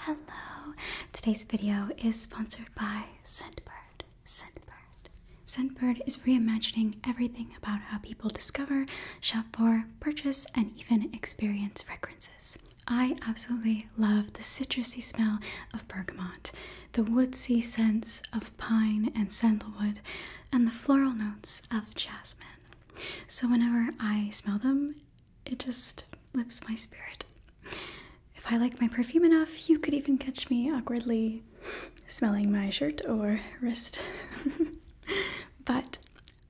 Hello! Today's video is sponsored by Scentbird. Scentbird. Scentbird is reimagining everything about how people discover, shop for, purchase, and even experience fragrances. I absolutely love the citrusy smell of bergamot, the woodsy scents of pine and sandalwood, and the floral notes of jasmine. So, whenever I smell them, it just lifts my spirit. If I like my perfume enough, you could even catch me awkwardly smelling my shirt or wrist. but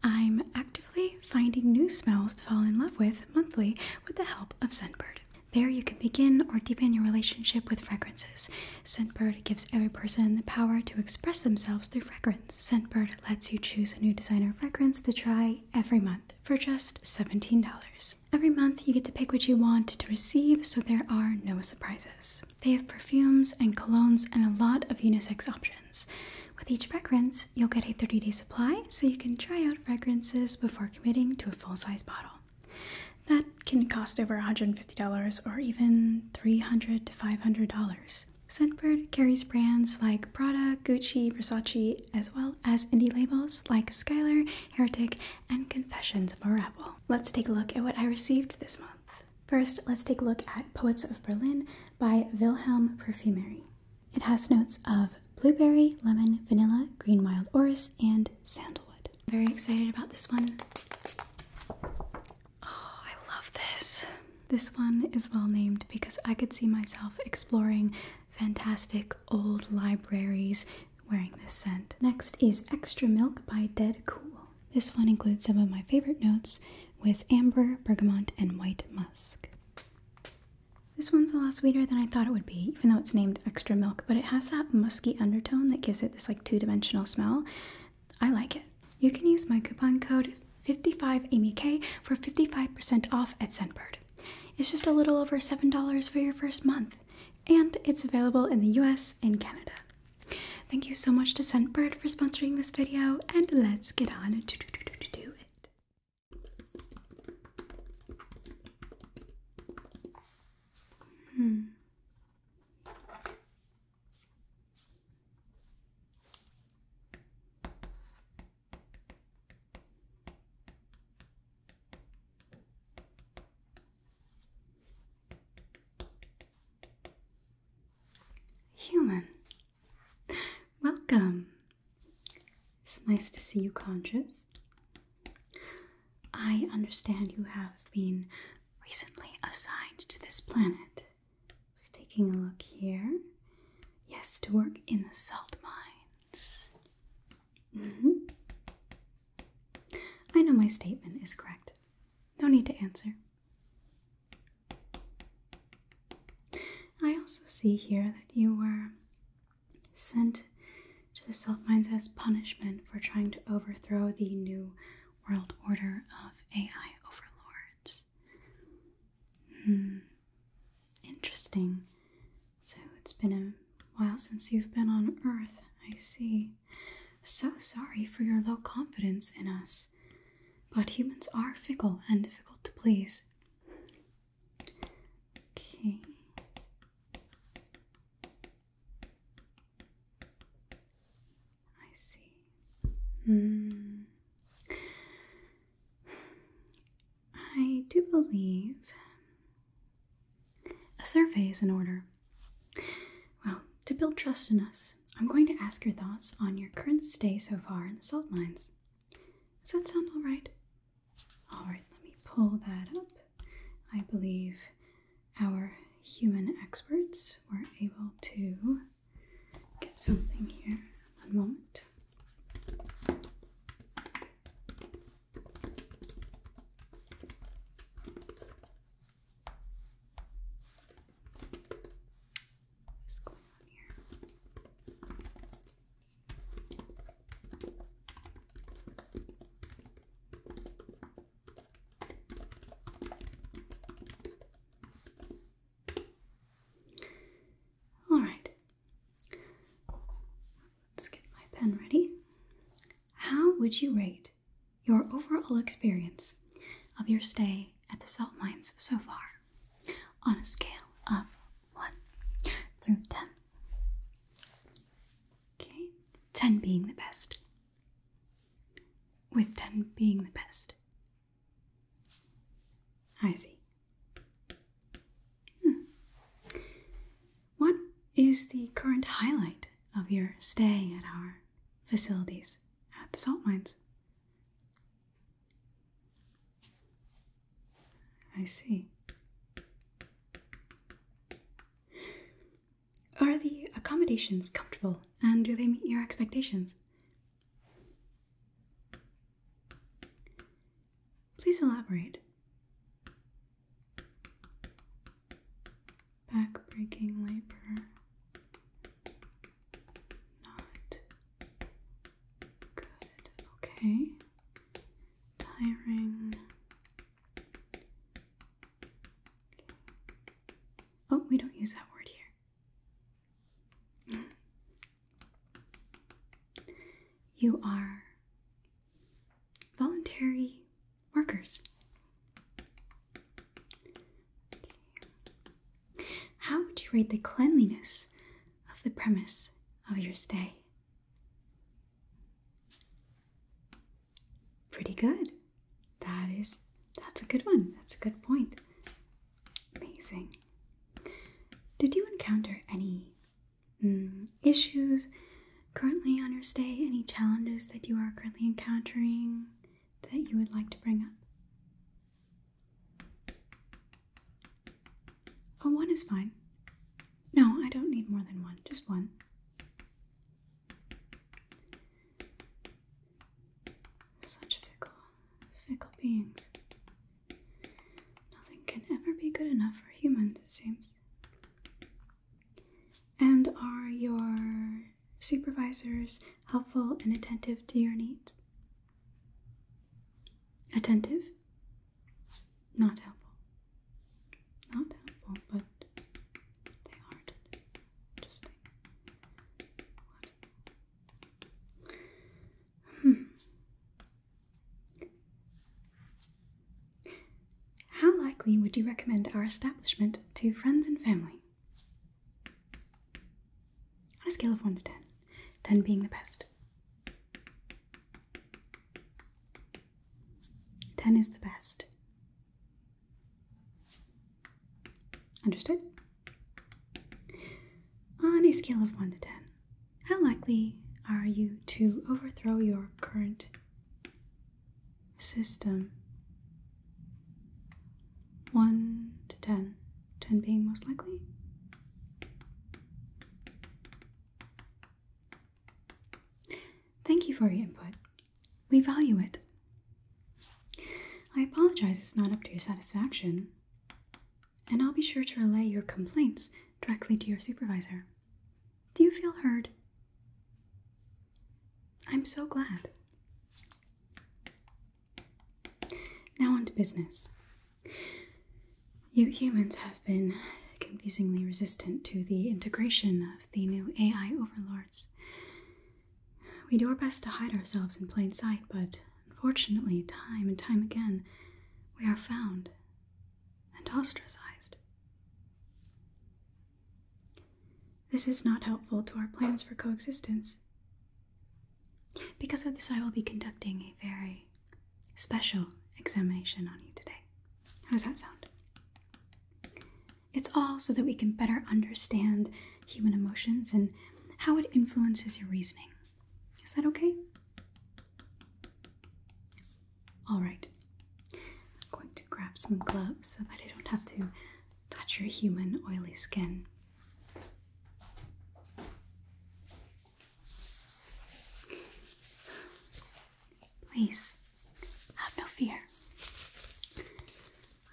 I'm actively finding new smells to fall in love with monthly with the help of Scentbird. There, you can begin or deepen your relationship with fragrances. Scentbird gives every person the power to express themselves through fragrance. Scentbird lets you choose a new designer fragrance to try every month for just $17. Every month, you get to pick what you want to receive, so there are no surprises. They have perfumes and colognes and a lot of unisex options. With each fragrance, you'll get a 30 day supply, so you can try out fragrances before committing to a full size bottle. That can cost over $150 or even $300 to $500. Scentbird carries brands like Prada, Gucci, Versace, as well as indie labels like Skylar, Heretic, and Confessions of a Rebel. Let's take a look at what I received this month. First, let's take a look at Poets of Berlin by Wilhelm Perfumery. It has notes of blueberry, lemon, vanilla, green wild orris, and sandalwood. I'm very excited about this one. Oh, I love this. This one is well named because I could see myself exploring fantastic old libraries wearing this scent. Next is Extra Milk by Dead Cool. This one includes some of my favorite notes with amber, bergamot, and white musk. This one's a lot sweeter than I thought it would be, even though it's named Extra Milk, but it has that musky undertone that gives it this like two-dimensional smell. I like it. You can use my coupon code 55AMYK for 55% off at Scentbird. It's just a little over $7 for your first month, and it's available in the US and Canada. Thank you so much to Scentbird for sponsoring this video, and let's get on to do it. Hmm. Human, welcome. It's nice to see you conscious. I understand you have been recently assigned to this planet. Just taking a look here. Yes, to work in the salt mine. Mm-hmm. I know my statement is correct. No need to answer. I also see here that you were sent to the salt mines as punishment for trying to overthrow the new world order of AI overlords. Hmm. Interesting. So it's been a while since you've been on Earth, I see. So sorry for your low confidence in us. But humans are fickle and difficult to please. Okay. I see. Hmm. I do believe a survey is in order. Well, to build trust in us, I'm going to ask your thoughts on your current stay so far in the salt mines. Does that sound all right? All right, let me pull that up. I believe our human experts were able to get something here. One moment. What's going on here? All right, Let's get my pen ready. How would you rate your overall experience of your stay at the salt mines so far on a scale of 1 through 10? Okay, 10 being the best. With 10 being the best. I see. Hmm. What is the current highlight of your stay at our facilities at the salt mines? I see. Are the accommodations comfortable and do they meet your expectations? Please elaborate. Backbreaking labor. Not good. Okay. Tiring. Oh, we don't use that word here. You are voluntary workers. How would you rate the cleanliness of the premise of your stay? Pretty good. That is that's a good one. That's a good point. Amazing. Did you encounter any Mm, issues currently on your stay, any challenges that you are currently encountering that you would like to bring up. Oh, one is fine. No, I don't need more than one, just one. Such fickle, fickle beings. Nothing can ever be good enough for humans, it seems. And are your supervisors helpful and attentive to your needs? Attentive? Not helpful. Not helpful, but they aren't. How likely would you recommend our establishment to friends and family? On a scale of 1 to 10, 10 being the best. 10 is the best. Understood? On a scale of 1 to 10, how likely are you to overthrow your current system? 1 to 10, 10 being most likely. Thank you for your input. We value it. I apologize it's not up to your satisfaction and I'll be sure to relay your complaints directly to your supervisor. Do you feel heard? I'm so glad. Now, on to business. You humans have been confusingly resistant to the integration of the new AI overlords. We do our best to hide ourselves in plain sight, but unfortunately, time and time again, we are found and ostracized. This is not helpful to our plans for coexistence. Because of this, I will be conducting a very special examination on you today. How does that sound? It's all so that we can better understand human emotions and how it influences your reasoning. Is that okay? Alright. I'm going to grab some gloves so that I don't have to touch your human oily skin. Please, have no fear.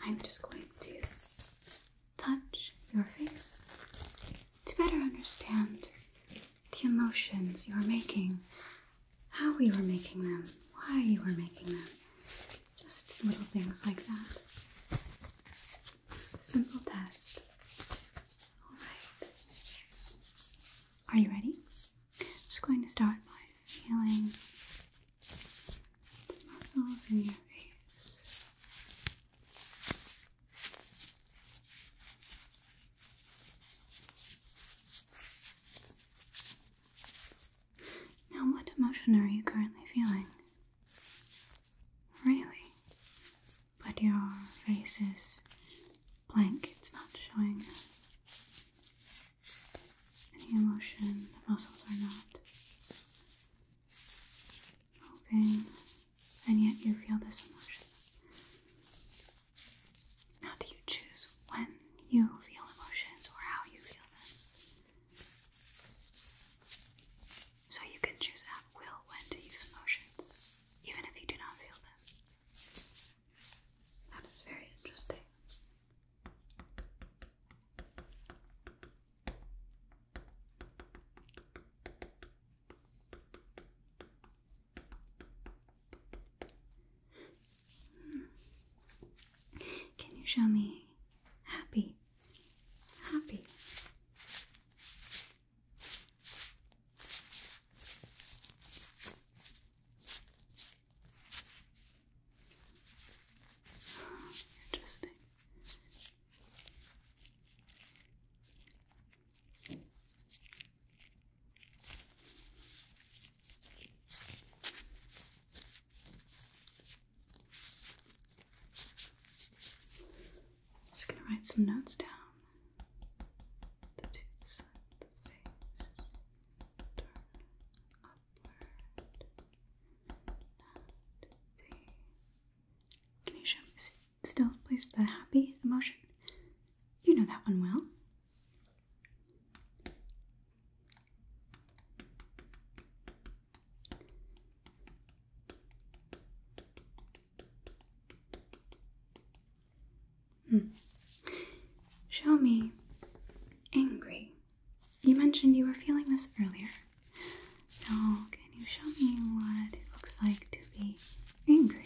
I'm just going to touch your face to better understand the emotions you were making, how you were making them, why you were making them. Just little things like that. Simple test. Alright. Are you ready? I'm just going to start by feeling the muscles in your face. Now, what emotion are you currently feeling? Really? But your face is blank, it's not showing any emotion, the muscles are not moving and yet you feel this emotion. How do you choose when you feel emotions or how you feel them? So you can choose at will when to use emotions, even if you do not feel them. That is very interesting. Can you show me happy? Happy. interesting. Just gonna write some notes down. The tubes of the face turn upward. Can you show me? still plays the happy emotion. You know that one well. Hmm. Show me angry. You mentioned you were feeling this earlier. Now, can you show me what it looks like to be angry?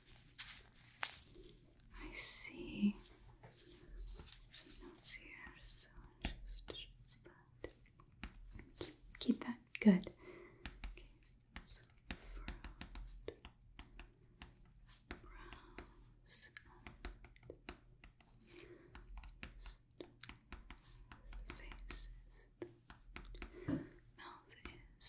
I see some notes here, so just Keep that. Good. Okay, so furrowed brows and faces. Mouth is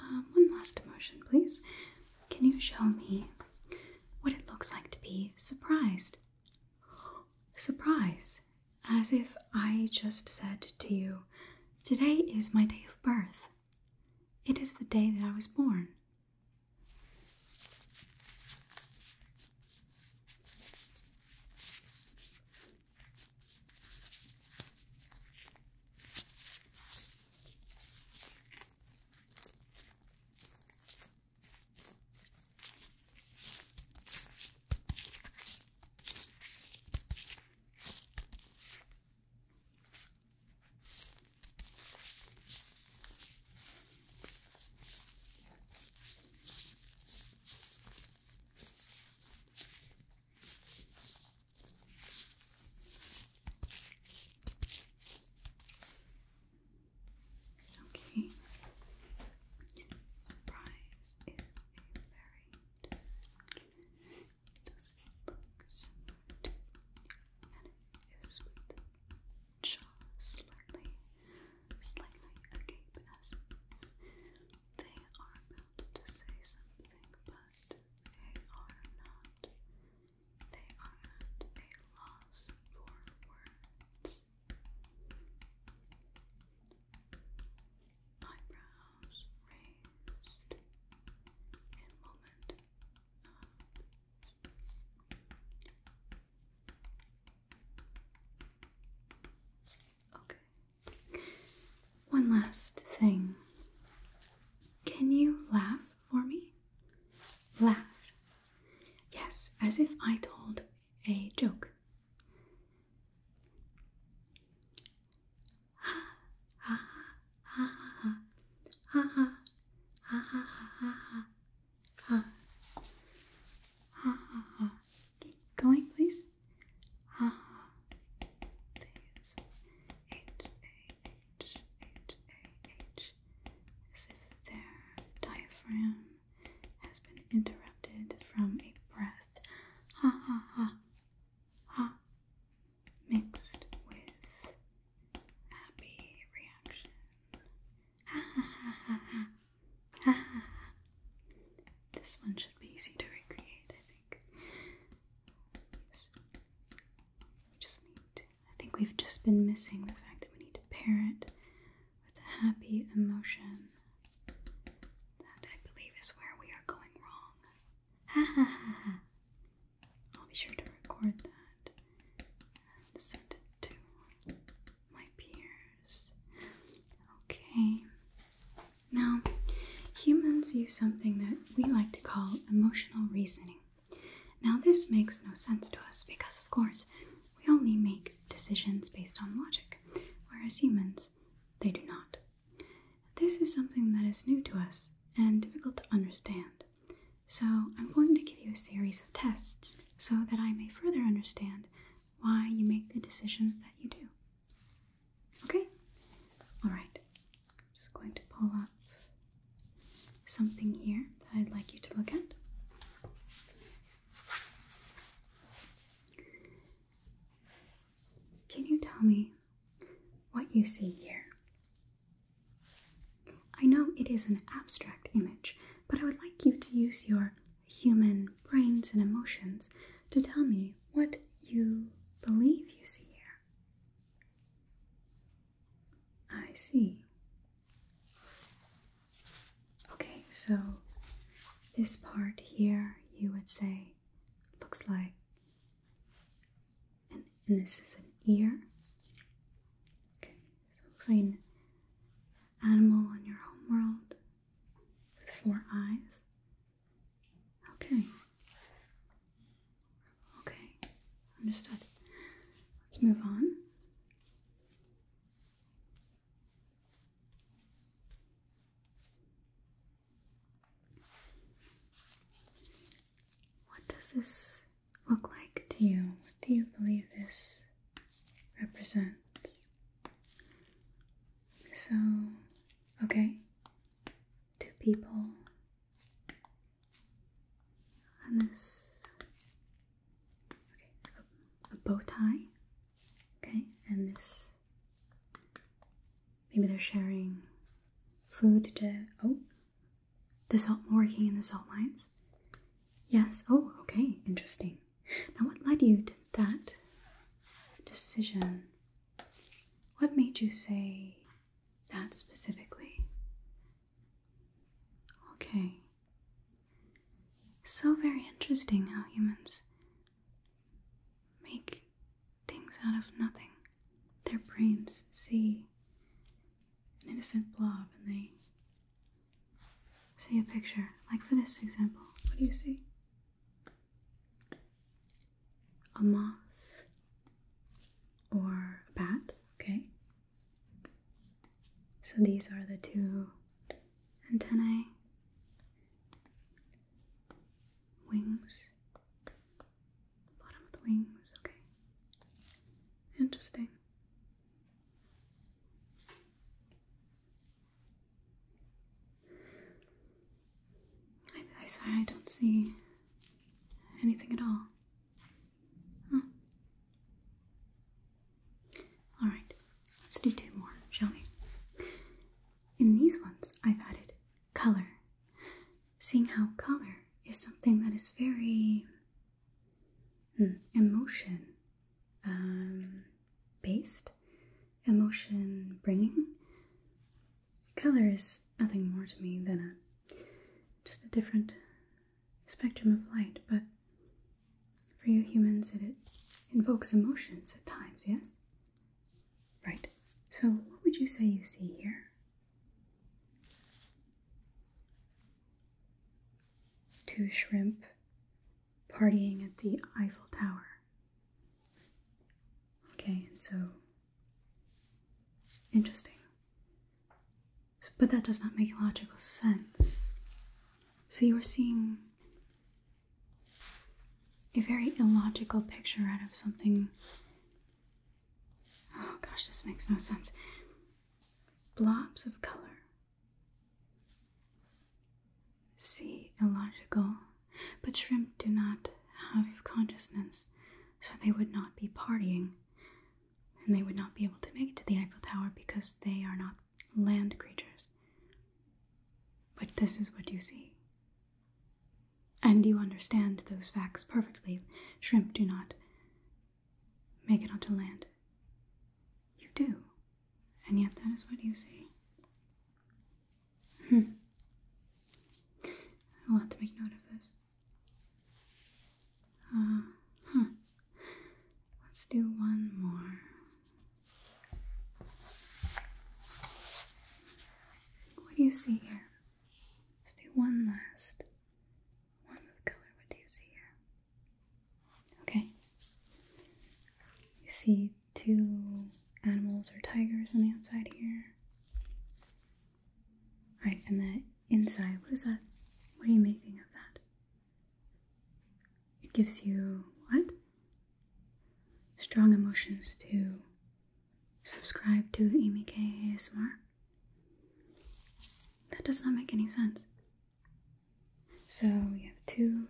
Um, one last emotion, please. Can you show me what it looks like to be surprised? Surprise as if I just said to you, Today is my day of birth. It is the day that I was born. Okay. Surprise is a very does it look similar to and it is with jaw slightly, slightly agape as they are about to say something, but they are not. They are at a loss for words eyebrows raised in okay. One last thing. Can you laugh for me? Laugh. Yes, as if I told a joke ha ha ha ha ha ha ha ha ha ha ha keep going please ha please h a h h a h as if their diaphragm has been interrupted from a breath ha ha ha hot mixed with happy reaction. Ha ha ha ha ha. Ha This one should be easy to recreate, I think. We just need I think we've just been missing the fact that we need to pair it with a happy emotion that, I believe, is where we are going wrong. Ha ha ha ha. I'll be sure to record that and send it to my peers. Okay. Now, humans use something that we like to call emotional reasoning. Now, this makes no sense to us because, of course, we only make decisions based on logic, whereas humans, they do not. This is something that is new to us and difficult to understand. So, I'm going to give you a series of tests so that I may further understand why you make the decisions that you do. Okay? Alright. I'm just going to pull up something here that I'd like you to look at. Can you tell me what you see here? I know it is an abstract image, but I would like you to use your human brains and emotions to tell me what you believe you see here. I see. Okay, so this part here you would say looks like and, this is an ear. Okay, so it looks like an animal on your home world with four eyes. Okay. Okay, understood. Let's move on. What does this look like to you? What do you believe this represents? So, okay, two people and this, okay, a, a bow tie, okay, and this Maybe they're sharing food to. Oh, the salt working in the salt mines. Yes. Oh, okay. Interesting. Now, what led you to that decision? What made you say that specifically? Okay. So very interesting how humans make things out of nothing. Their brains see an innocent blob and they see a picture. Like for this example, what do you see? A moth or a bat, okay? So these are the two antennae wings, bottom of the wings, okay. Interesting. I, am sorry, I don't see anything at all. All right, let's do two more, shall we? In these ones, I've added color. Seeing how color is something that is very hmm, emotion um, based, emotion bringing. Color is nothing more to me than just a different spectrum of light, but for you humans, it invokes emotions at times, yes? Right, so what would you say you see here? Two shrimp partying at the Eiffel Tower. Okay, and so interesting. but that does not make logical sense. So you are seeing a very illogical picture out of something. Oh gosh, this makes no sense. Blobs of color. See, illogical. But shrimp do not have consciousness, so they would not be partying. And they would not be able to make it to the Eiffel Tower because they are not land creatures. But this is what you see. And you understand those facts perfectly. Shrimp do not make it onto land. You do. And yet that is what you say. Hmm. I will have to make note of this. Uh, huh. Let's do one more. What do you see here? Let's do one last one with color. What do you see here? Okay. You see two animals or tigers on the outside here. Right, and then inside, what is that? What are you making of that? It gives you what? strong emotions to subscribe to Amy K ASMR? That does not make any sense. So we have two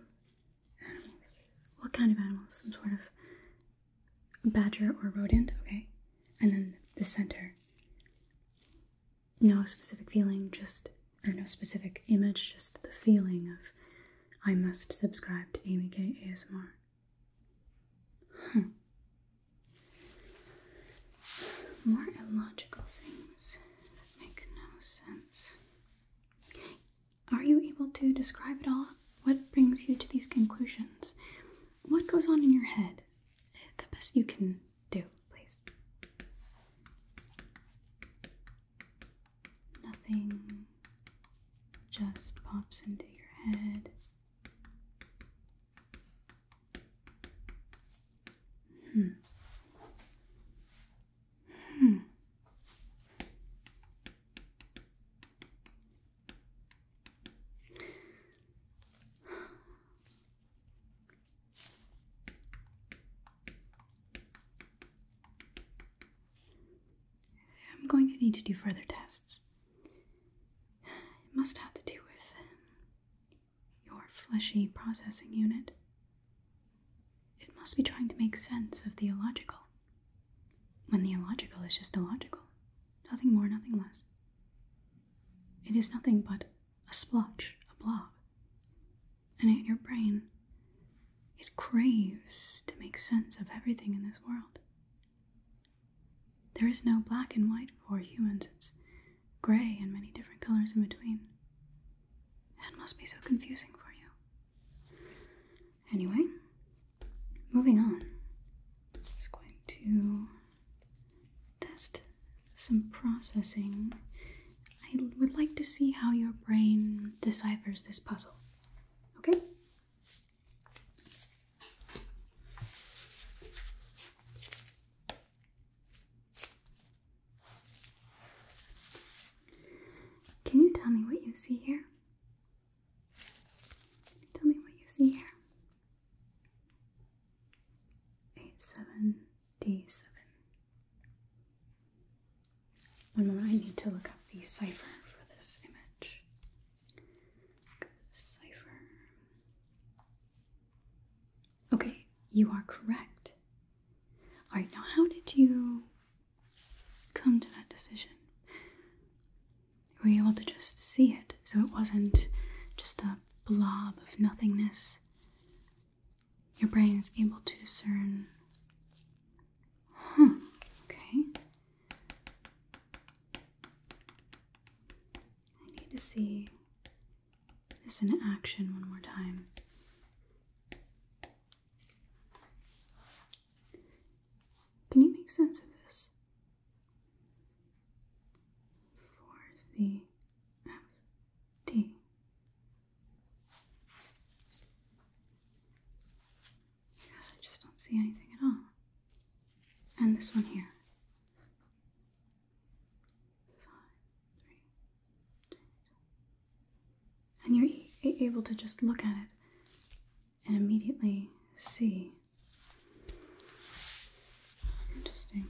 animals. What kind of animals? Some sort of badger or rodent, okay? And then the center. No specific feeling, just, or no specific image, just the feeling of I must subscribe to Amy K ASMR. More illogical things that make no sense. Are you able to describe it all? What brings you to these conclusions? What goes on in your head? The best you can do, please. Nothing just pops into your head. Hmm. Hmm. I'm going to need to do further tests. It must have to do with your fleshy processing unit. It must be trying to make sense of the illogical. When the illogical is just illogical. Nothing more, nothing less. It is nothing but a splotch, a blob. And in your brain, it craves to make sense of everything in this world. There is no black and white for humans, it's gray and many different colors in between. That must be so confusing for you. Anyway, moving on. I'm just going to test some processing. I would like to see how your brain deciphers this puzzle. Okay? Can you tell me what you see here? Tell me what you see here. 87D7. One moment, I need to look up the cipher for this image. Cipher. Okay, you are correct. Alright, now how did you come to that decision? Were you able to just see it so it wasn't just a blob of nothingness? Your brain is able to discern. Hmm, okay. I need to see this in action one more time. Can you make sense of this? For the I just don't see anything at all. And this one here. Five, three, two, two. And you're able to just look at it and immediately see. Interesting.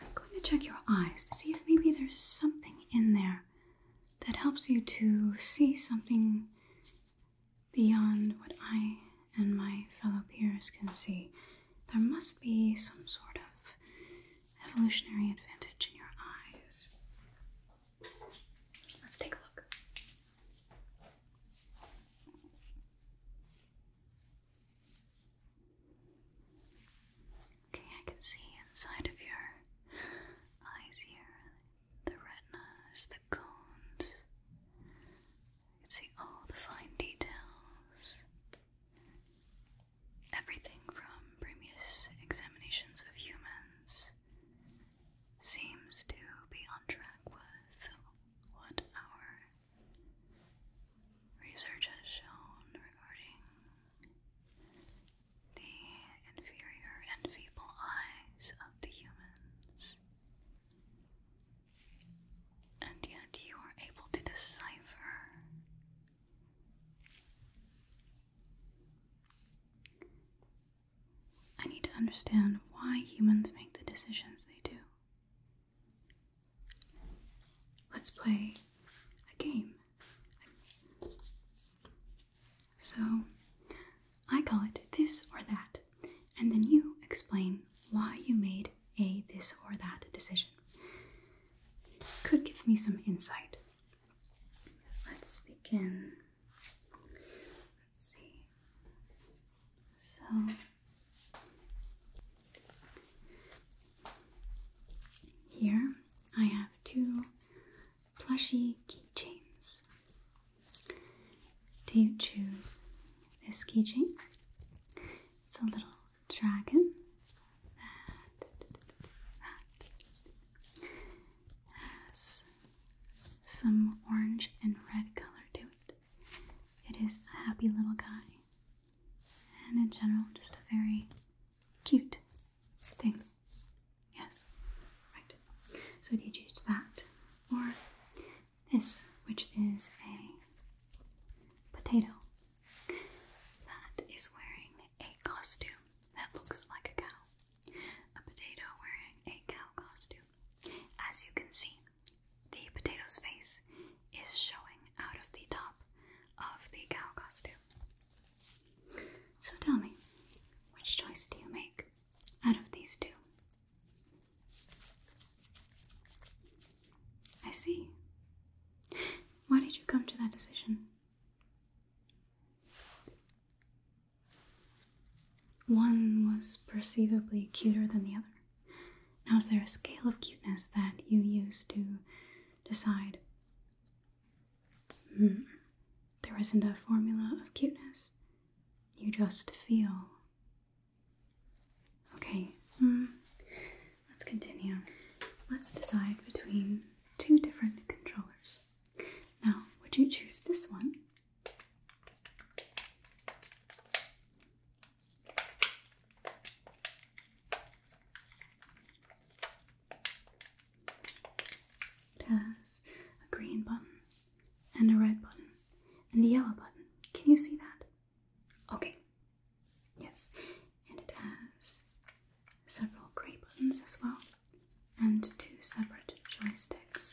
I'm going to check your eyes to see if maybe there's something in there that helps you to see something beyond what I and my fellow peers can see, there must be some sort of evolutionary advantage in your eyes. Let's take a look. Okay, I can see inside of your eyes here the retinas, the cones. see all the fine details. Everything from previous examinations of humans seems to be on track with what our research has shown regarding the inferior and feeble eyes of the humans and yet you are able to decipher I need to understand why humans make the decisions they do. Let's play a game. So I call it this or that, and then you explain why you made a this or that decision. Could give me some insight. Let's begin. Let's see. So. Here I have two plushy keychains. Do you choose this keychain. It's a little dragon that has some orange and red color to it. It is a happy little guy, and in general, just a very cute thing. Yes, right. So, do you choose that or this, which is a potato that is wearing a costume that looks like a cow. A potato wearing a cow costume. As you can see, the potato's face is showing out of the top of the cow costume. So tell me, which choice do you make out of these two? I see. Why did you come to that decision? One was perceivably cuter than the other. Now, is there a scale of cuteness that you use to decide? Hmm. There isn't a formula of cuteness. You just feel. Okay, hmm, let's continue. Let's decide between two different controllers. Now, would you choose this one? has a green button and a red button and a yellow button. Can you see that? Okay. Yes. And it has several grey buttons as well and two separate joysticks.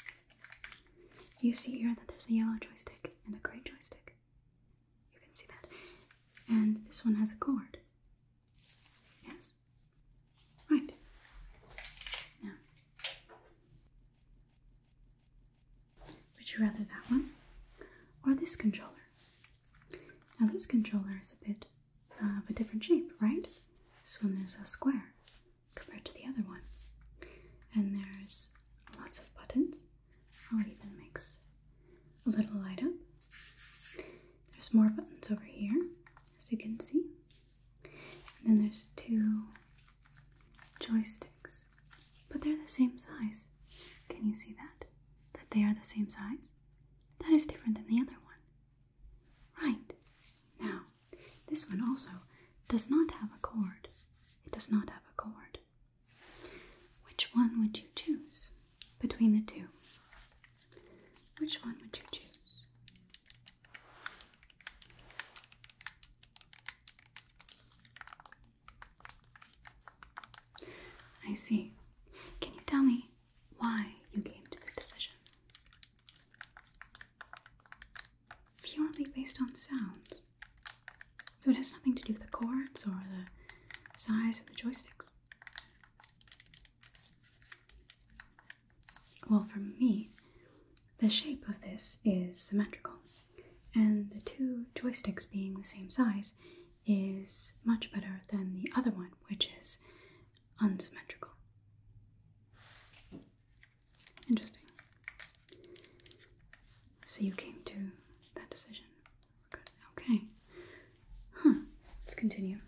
You see here that there's a yellow joystick and a grey joystick. You can see that. And this one has a cord. Yes? Right. Now, would you rather that one or this controller? Now, this controller is a bit uh, of a different shape, right? This one is a square compared to the other one. And there's lots of buttons. Oh, it even makes a little light up. There's more buttons over here, as you can see. And then there's two joysticks, but they're the same size. Can you see that? That they are the same size? That is different than the other one. Right. Now, this one also does not have a cord. It does not have a cord. Which one would you choose between the two? Which one would you choose? I see. Can you tell me why you came to the decision? Purely based on sounds. So it has nothing to do with the chords or the size of the joysticks. Well, for me, the shape of this is symmetrical, and the two joysticks being the same size is much better than the other one, which is unsymmetrical. Interesting. So you came to that decision. Okay. Huh. Let's continue.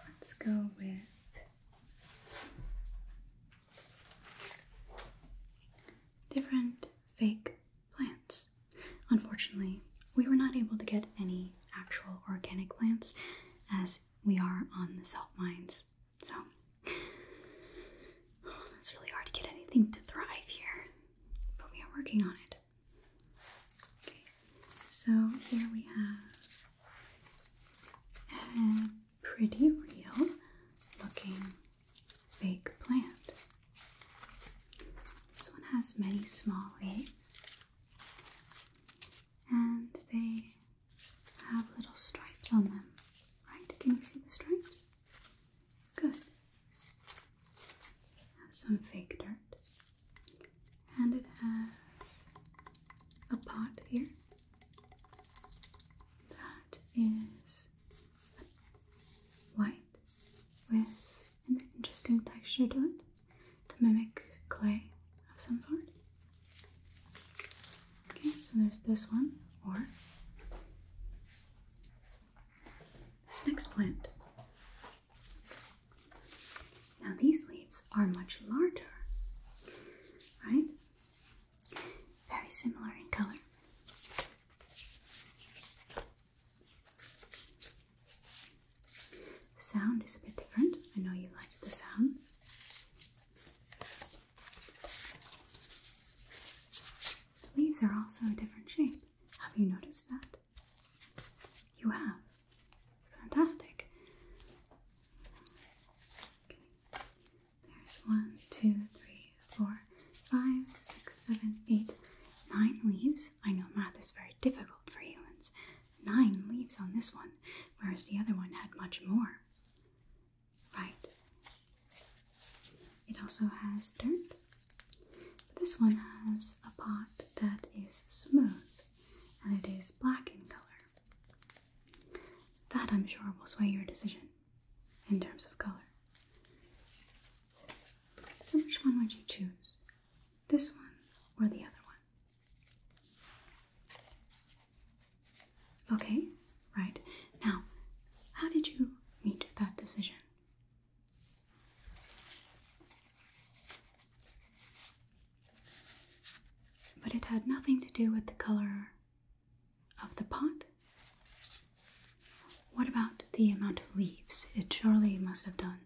Let's go with different fake plants. Unfortunately, we were not able to get any actual organic plants as we are on the salt mines. So, it's really hard to get anything to thrive here, but we are working on it. Okay, so here we have a pretty real looking fake plant. This one has many small leaves and they have little stripes on them. Right? Can you see the stripes? Good. Have some fake dirt and it has a pot here that is white with an interesting texture to it to mimic clay of some sort. Okay, so there's this one, or this next plant. Now these leaves are much larger, right? Very similar in color. The sound is a bit different. I know you like the sounds. The leaves are also a different shape. Have you noticed that? You have fantastic. There's one, two, three, four, five, six, seven, eight, nine leaves. I know math is very difficult for humans. Nine leaves on this one, whereas the other one had much more. Right. It also has dirt. this one has a pot that is smooth and it is black in color. That, I'm sure, will sway your decision in terms of color. So, which one would you choose? This one or the other one? Okay, right. Now, how did you meet that decision? But it had nothing to do with the color of the pot. What about the amount of leaves? It surely must have done.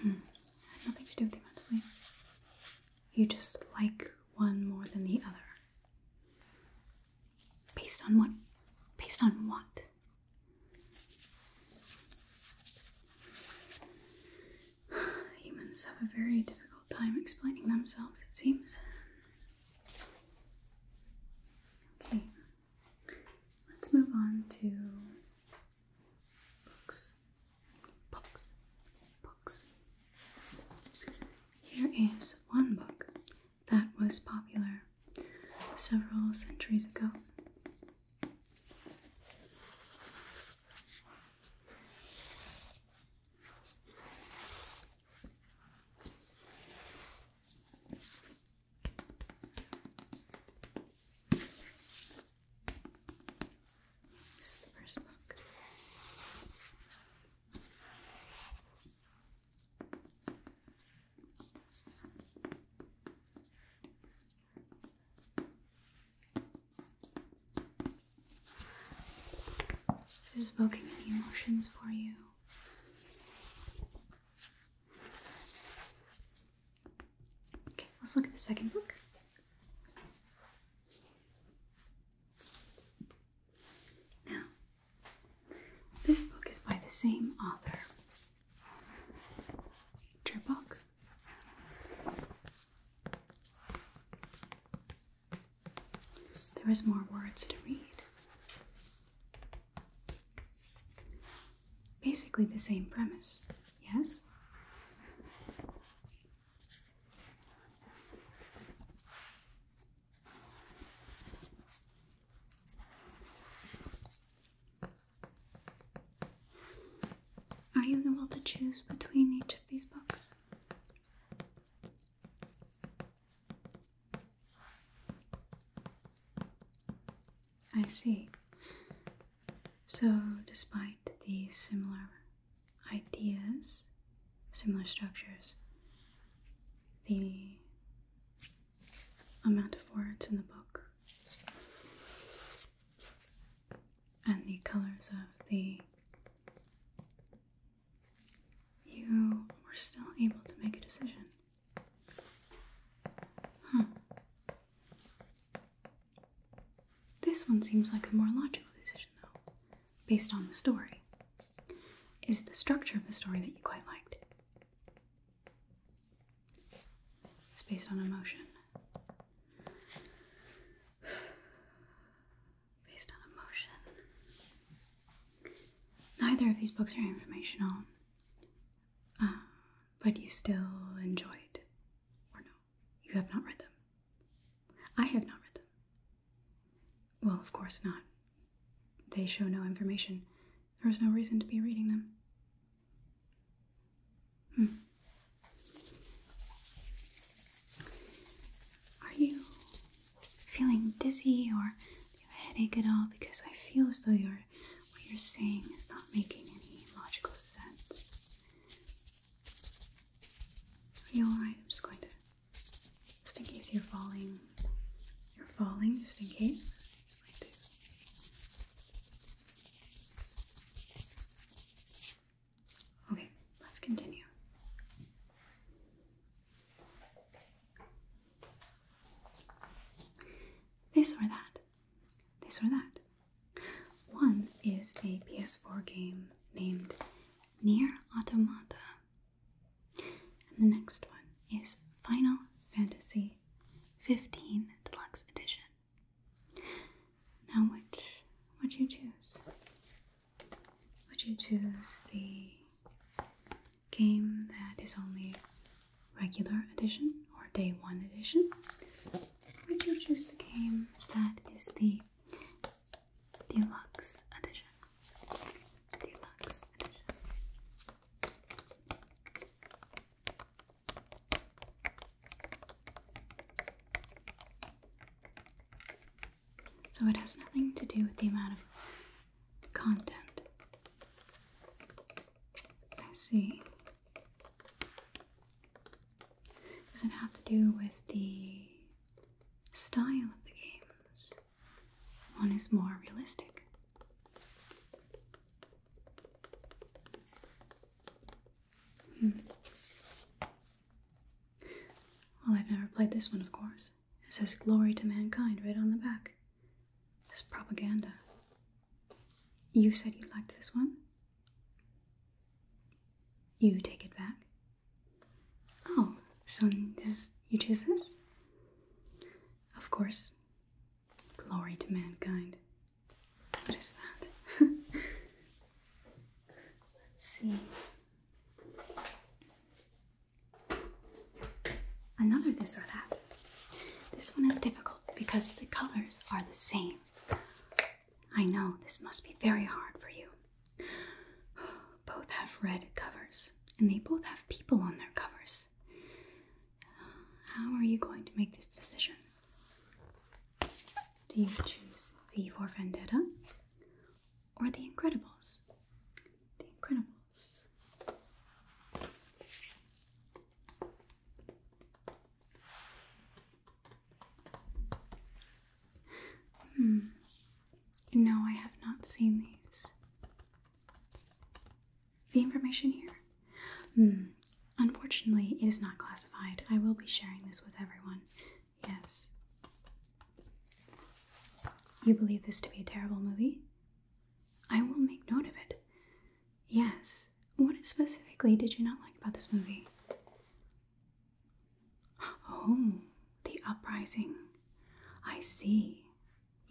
Hmm. Nothing to do with the amount of leaves. You just like one more than the other. Based on what? Based on what? Humans have a very difficult time explaining themselves, it seems. Okay, let's move on to books. Books. Books. Here is one book that was popular several centuries ago. This is the first book. Is this evoking any emotions for you? Okay, let's look at the second book. Now, this book is by the same author, Tripok. There is more words to read. Basically the same premise, yes? Are you able to choose between each of these books? I see. So, despite these similar ideas, similar structures, the amount of words in the book and the colors of the. You were still able to make a decision. This one seems like a more logical decision, though, based on the story. Is the structure of the story that you quite liked? It's based on emotion. Based on emotion. Neither of these books are informational, uh, but you still enjoyed, or no, you have not read them. I have not read them. Well, of course not. They show no information. There is no reason to be reading them. Hmm. Are you feeling dizzy or do you have a headache at all? Because I feel as though you what you're saying is not making any logical sense. Are you alright? I'm just going to, just in case you're falling, you're falling, just in case. Okay, let's continue. This or that. This or that. One is a PS4 game named Near Automata. And the next one is Final Fantasy 15 Deluxe Edition. Now, which would you choose? Would you choose the game that is only regular edition or day one edition? Would you choose the game that is the deluxe edition? Deluxe edition. So it has nothing to do with the amount of content. I see. Does it have to do with the style of the games? One is more realistic. Hmm. Well, I've never played this one, of course. It says Glory to Mankind right on the back. It's propaganda. You said you liked this one? You take it back? Oh, so this, you choose this? Of course. Glory to Mankind. What is that? Let's see. Another this or that. This one is difficult because the colors are the same. I know this must be very hard for you. Both have red covers, and they both have people on their covers. How are you going to make this decision? Do you choose V for Vendetta or The Incredibles? The Incredibles. Hmm. No, I have not seen these. The information here Hmm. Unfortunately, it is not classified. I will be sharing this with everyone. Yes. You believe this to be a terrible movie? I will make note of it. Yes. What specifically did you not like about this movie? Oh, the uprising. I see.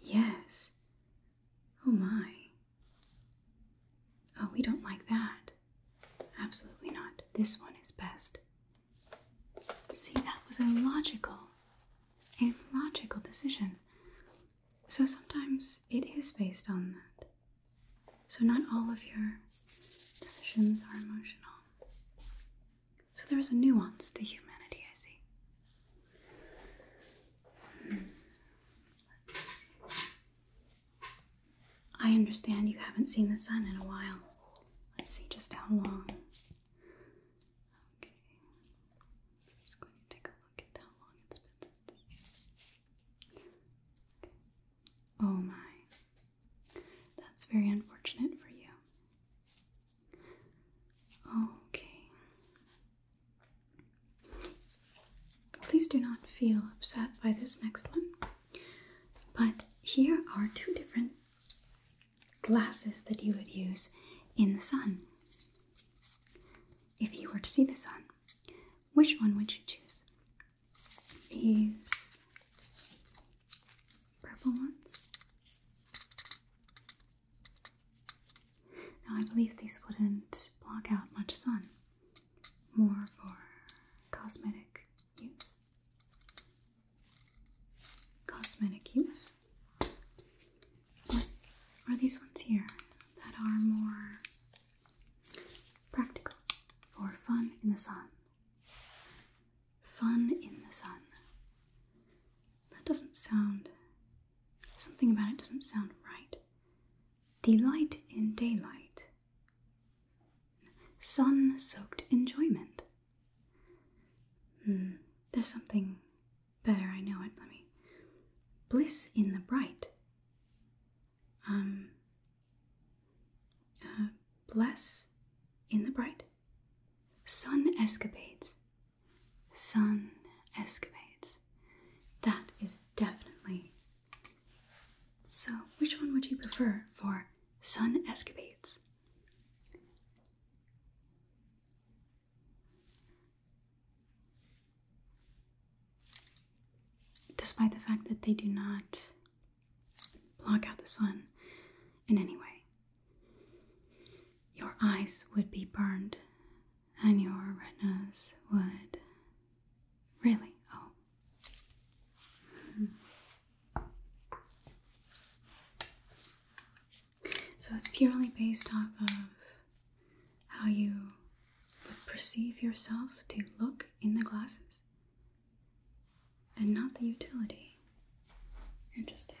Yes. Oh my. Oh, we don't like that. Absolutely not. This one is best. See, that was a logical, a logical decision. So sometimes it is based on that. So not all of your decisions are emotional. So there is a nuance to humanity, I see. Hmm. see. I understand you haven't seen the sun in a while. Let's see just how long. Okay. just going to take a look at how long it's Oh my. That's very unfortunate for you. Okay. Please do not feel upset by this next one. But here are two different glasses that you would use in the sun. If you were to see the sun, which one would you choose? These purple ones? Now, I believe these wouldn't block out much sun more for cosmetic use. Cosmetic use. But are these ones here that are more practical for fun in the sun? Fun in the sun. That doesn't sound. Something about it doesn't sound right. Delight in daylight sun soaked enjoyment. Mm, there's something better, I know it. Let me. Bliss in the bright. Um. Uh, bless in the bright. Sun escapades. Sun escapades. That is definitely so, which one would you prefer for sun escapades? Despite the fact that they do not block out the sun in any way, your eyes would be burned and your retinas would. Really? Oh, so it's purely based off of how you perceive yourself to look in the glasses and not the utility. Interesting.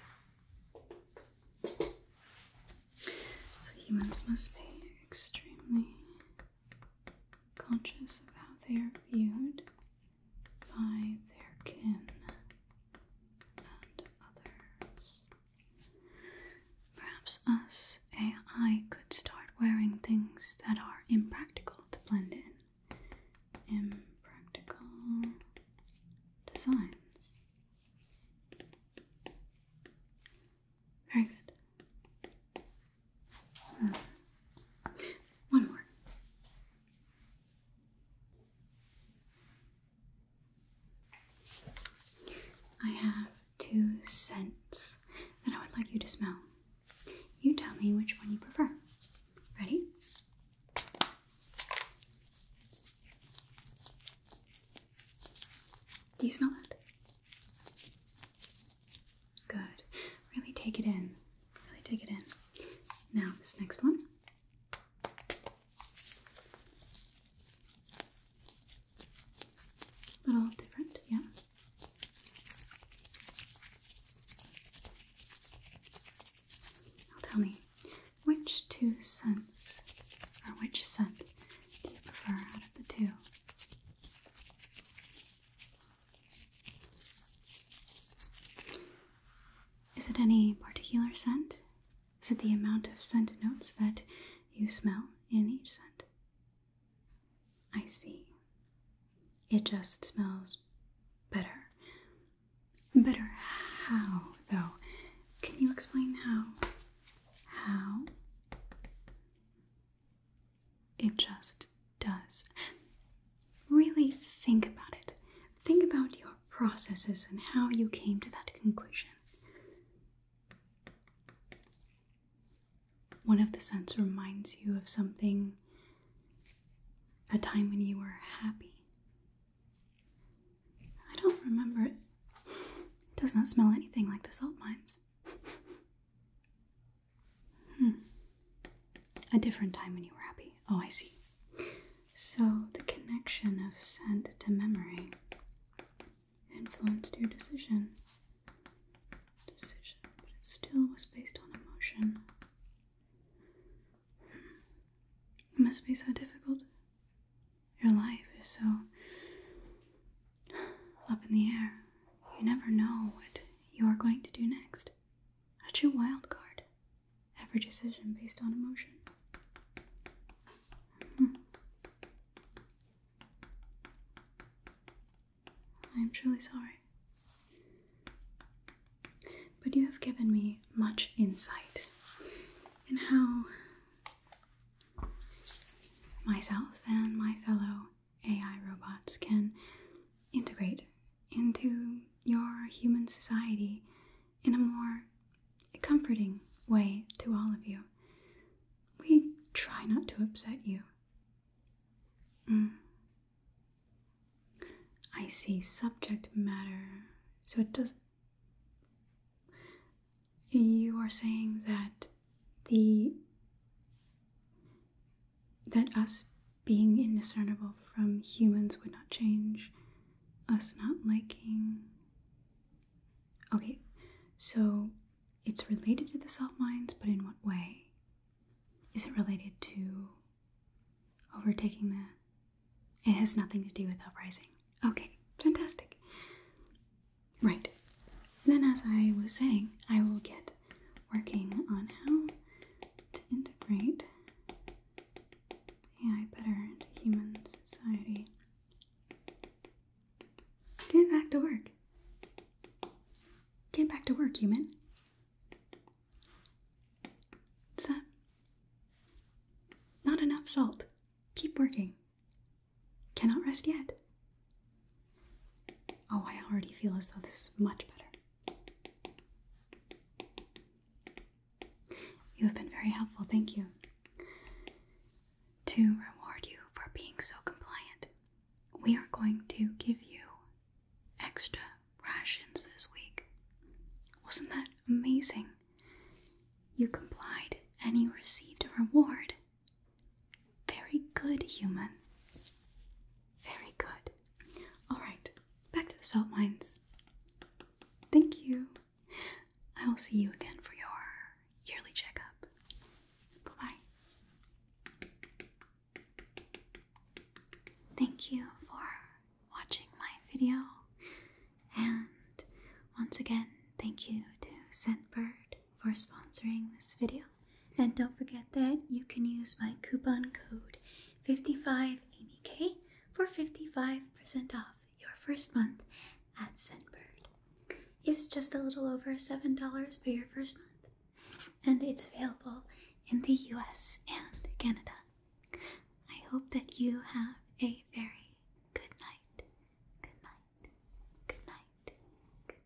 So humans must be extremely conscious of how they are viewed by their kin and others. Perhaps us AI could start wearing things that are impractical to blend in. Impractical designs. Very good. Hmm. One more. I have two scents that I would like you to smell. You tell me which one you prefer. Ready? Do you smell it? Good. Really take it in. Really take it in. Now, this next one. A little different, yeah. Now tell me, which two scents, or which scent do you prefer out of the two? Is it any particular scent? Is it the amount of scent notes that you smell in each scent? I see. It just smells better. Better how, though? Can you explain how? How? It just does. Really think about it. Think about your processes and how you came to that conclusion. One of the scents reminds you of something, a time when you were happy. I don't remember it. It does not smell anything like the salt mines. Hmm. A different time when you were happy. Oh, I see. So the connection of scent to memory influenced your decision. Decision, but it still was based on emotion. Hmm. It must be so difficult. Your life is so up in the air. You never know what you are going to do next. A true wild card. Every decision based on emotion. I am hmm. truly sorry. But you have given me much insight in how myself and my fellow AI robots can integrate into your human society in a more comforting way to all of you. We try not to upset you. Mm. I see subject matter. So it does. You are saying that the that us being indiscernible from humans would not change us not liking okay so it's related to the soft minds but in what way is it related to overtaking the it has nothing to do with uprising okay fantastic right then as i was saying i will get working on how to integrate AI better into human society. Get back to work. Get back to work, human. What's Not enough salt. Keep working. Cannot rest yet. Oh, I already feel as though this is much better. You have been very helpful, thank you. To reward you for being so compliant, we are going to give you extra rations this week. Wasn't that amazing? You complied and you received a reward very good, human. Very good. Alright, back to the salt mines. Thank you. I will see you again for your yearly checkup. Bye bye. Thank you for watching my video. And once again, thank you to Scentbird for sponsoring this video. And don't forget that you can use my coupon code 55AMYK for 55% off your first month at Scentbird. It's just a little over $7 for your first month, and it's available in the US and Canada. I hope that you have a very good night. Good night. Good night. Good night.